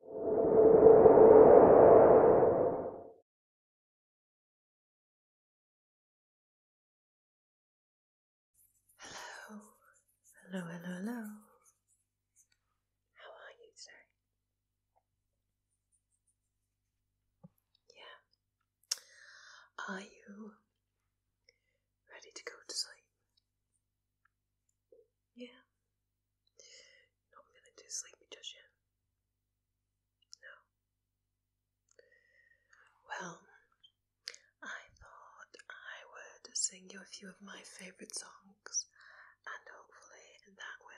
Hello, hello, hello, hello. How are you today? Yeah. Are you ready to go to sleep? Yeah. Not feeling too sleepy just yet? No. Well, I thought I would sing you a few of my favourite songs, and hopefully that will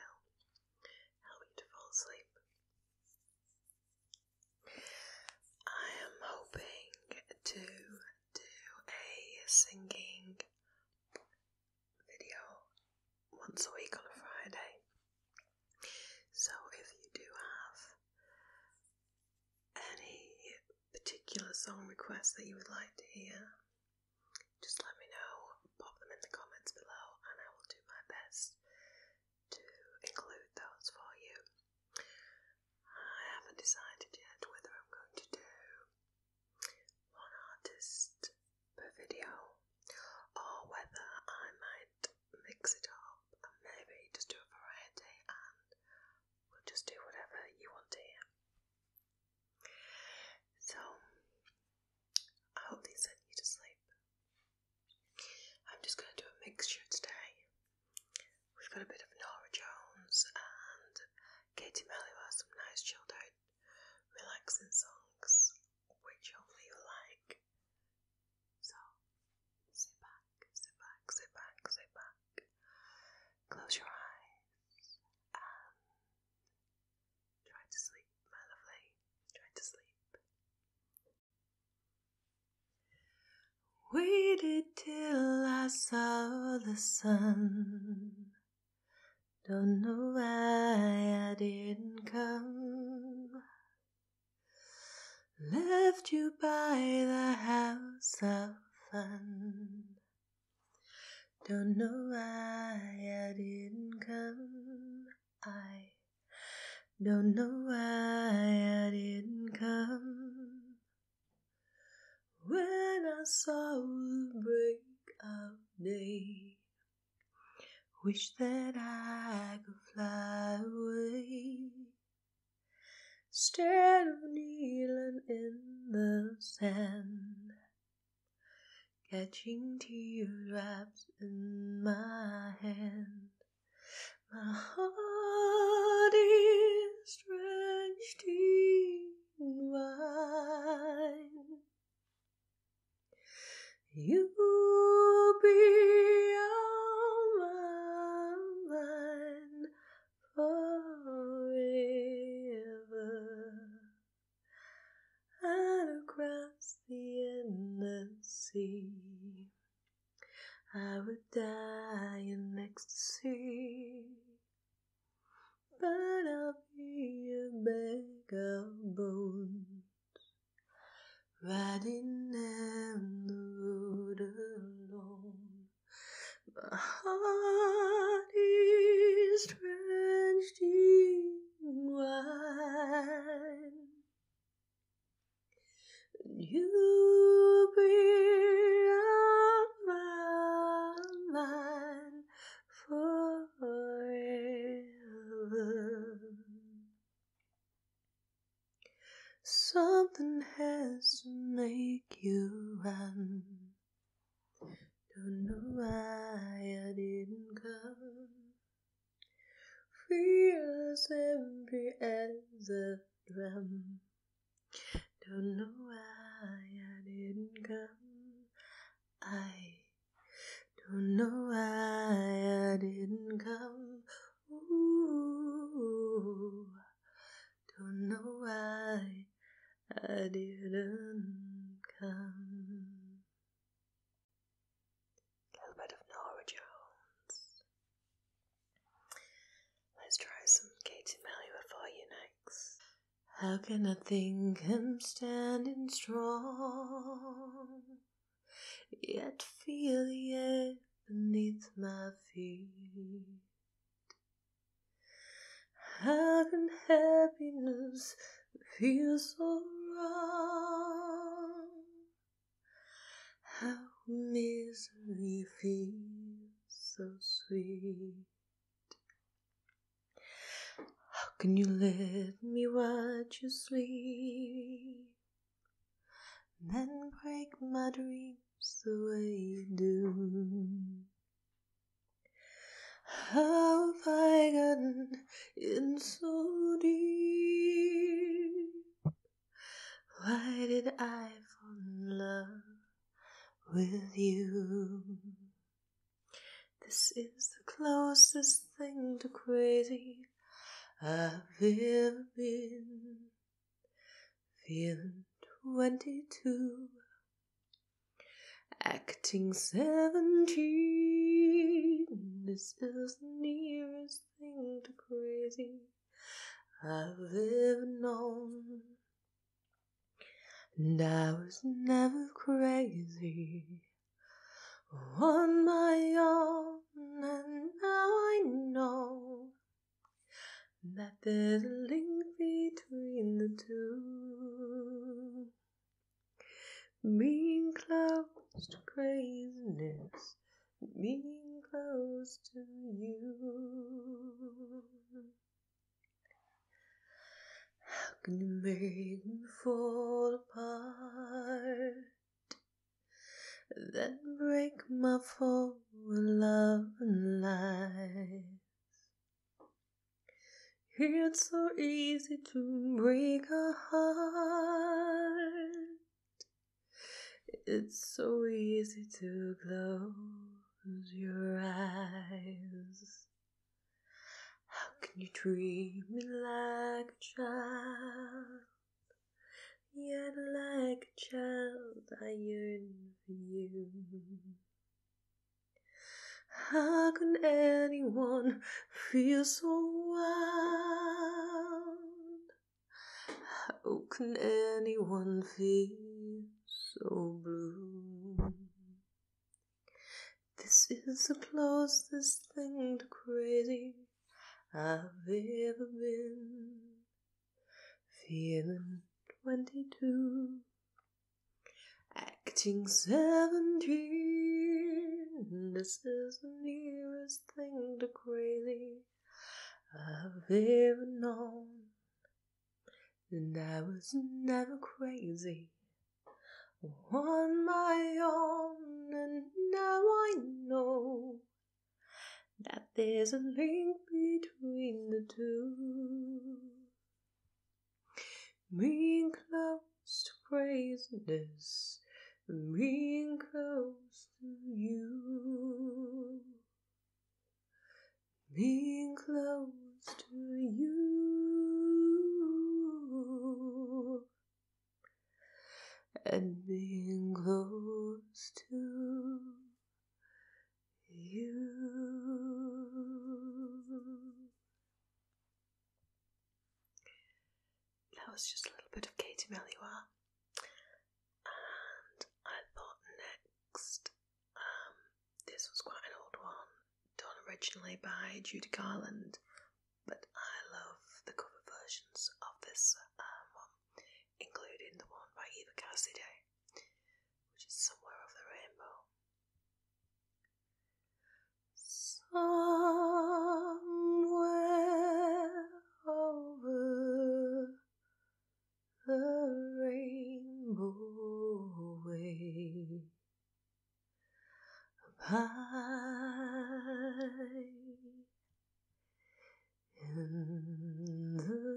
help you to fall asleep. I am hoping to do a singing video once a week on a Friday. So if you do have any particular song requests that you would like to hear, just let me know, pop them in the comments below, and I will do my best to include those for you. I haven't decided yet whether I'm going to do one artist per video, or whether I might mix it up and maybe just do a variety and we'll just do whatever you want to hear. So, I hope these sent you to sleep. I'm just going to do a mixture today. We've got a bit of Nora Jones and Katie Melly has some nice chilled out relaxing songs, which hopefully you like. So, sit back, sit back, sit back, sit back, close your eyes, and try to sleep, my lovely. Try to sleep. Waited till I saw the sun. Don't know why I didn't come. Left you by the house of fun. Don't know why I didn't come. I don't know why I didn't come. When I saw the break of day, wish that I could fly away. Instead of kneeling in the sand, catching tear drops in my hand, my heart is stretched deep wine. You'll be on my mind forever and across the endless sea. I would die in ecstasy but I'll be a bag of bones, riding down the road alone. My heart is drenched in wine. You bring out my mind forever. Something has to make you run. Don't know why I didn't come. Feel as empty as a drum. Don't know why I didn't come. I don't know why I didn't come. Ooh, don't know why I didn't come. A little bit of Nora Jones. Let's try some Katie Melua for you next. How can I think I'm standing strong, yet feel the air beneath my feet? How can happiness feel so wrong? How misery feel so sweet? How can you let me watch you sleep? Then break my dreams the way you do. How have I gotten in so deep? Why did I fall in love with you. This is the closest thing to crazy I've ever been. Feeling 22, acting 17. This is the nearest thing to crazy I've ever known. And I was never crazy on my own, and now I know that there's a link between the two. Being close to craziness, being close to you. How can you make me fall apart? Then break my fall in love and lies. It's so easy to break a heart. It's so easy to glow close your eyes. How can you treat me like a child? Yet, like a child, I yearn for you. How can anyone feel so wild? How can anyone feel so blue. This is the closest thing to crazy I've ever been. Feeling 22, acting 17. This is the nearest thing to crazy I've ever known. And I was never crazy on my own, and now I know that there's a link between the two. Being close to craziness, being close to you being close to you and being close to you. That was just a little bit of Katie Melua and I thought next, um, this was quite an old one, done originally by Judy Garland, but I love the cover versions of this um, one, including the one by Eva Cassidy, which is Somewhere Over the Rainbow. Somewhere over a rainbow way high in the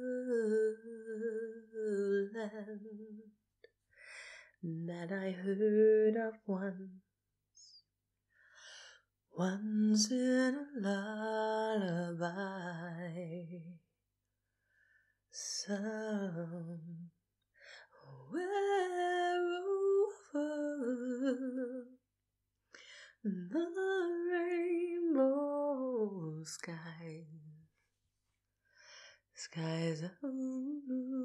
land that I heard of once, once in a lullaby somewhere over the rainbow sky. Skies are blue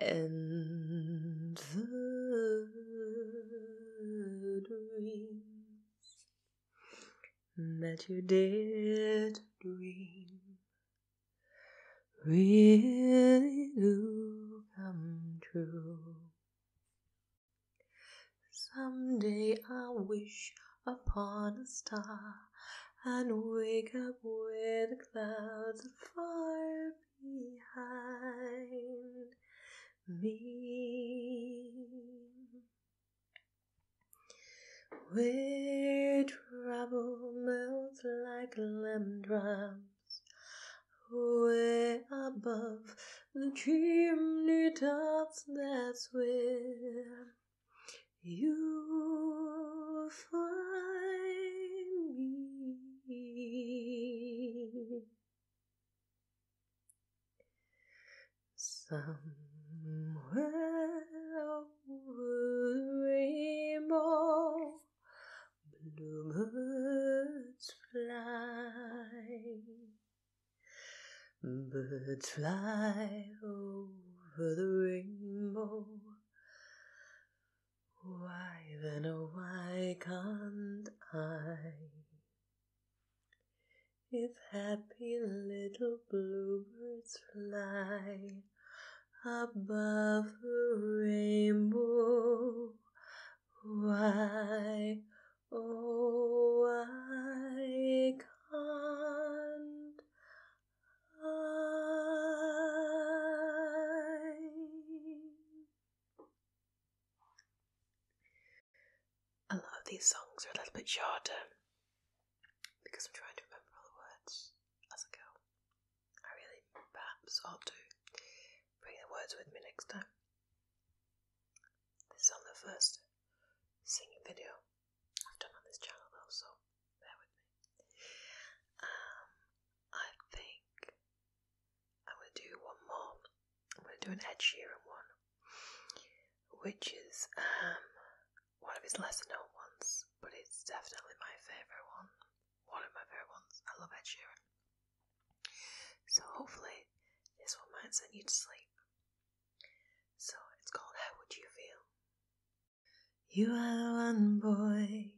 and the dreams that you did dream really do come true. Some day I wish upon a star and wake up where the clouds are far behind me. Where trouble melts like lemon drops, way above the chimney tops, that's where you find me. Somewhere over rainbow, bluebirds fly. Birds fly over the rainbow. Why then, oh, why can't I? If happy little bluebirds fly above a rainbow, why, oh, why can't I? A lot of these songs are a little bit shorter because I'm trying to remember all the words as I go. I really perhaps ought to bring the words with me next time. This is the first singing video I've done on this channel though, so bear with me. Um, I think I'm gonna do one more. I'm gonna do an Ed Sheeran one, which is um, one of his lesser known ones, but it's definitely my favourite one. One of my favourite ones. I love Ed Sheeran. So hopefully this one might send you to sleep. So it's called How Would You Feel? You are one boy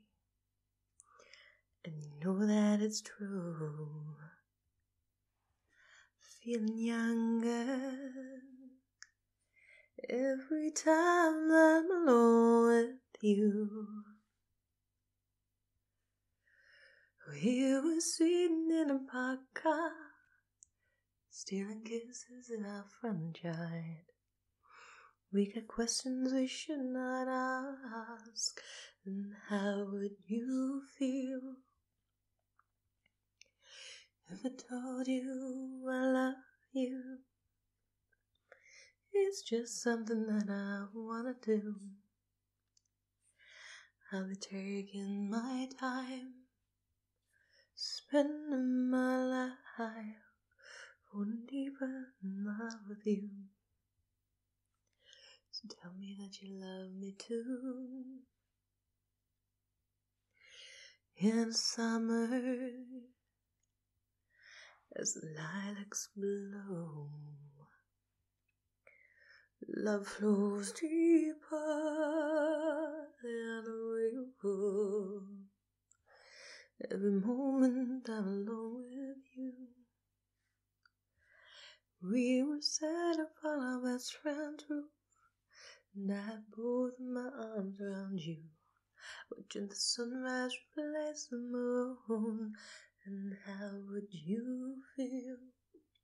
and you know that it's true. Feeling younger every time I'm alone with you. We were sitting in a park car, stealing kisses in our front yard. We got questions we should not ask. And how would you feel if I told you I love you? It's just something that I wanna do. I'll be taking my time, spending my life wouldn't even love you. So tell me that you love me too. In summer, as lilacs blow, love flows deeper than a river. Every moment I'm alone with you. We were set upon our best friend's roof, and I put my arms around you. Watching the sunrise replace the moon, and how would you feel? If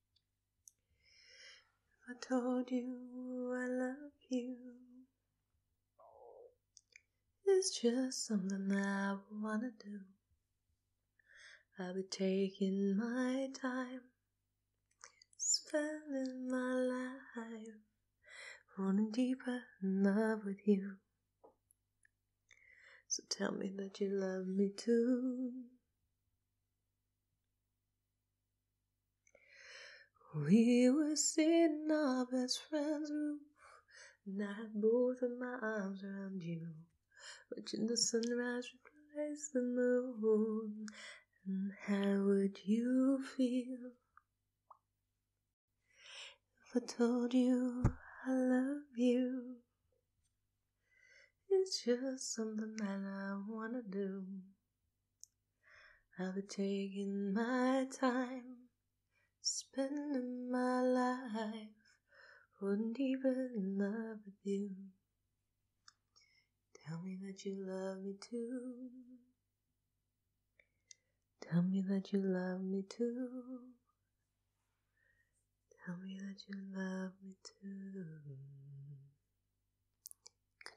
I told you I love you, it's just something I wanna do. I'll be taking my time, spending my life running deeper in love with you. So tell me that you love me too. We were sitting our best friend's roof and I have both of my arms around you. Watching the sunrise replace the moon. And how would you feel if I told you I love you? It's just something that I wanna do. I'll be taking my time Spending my life, wouldn't even in love with you. Tell me that you love me too. Tell me that you love me too. Tell me that you love me too. Good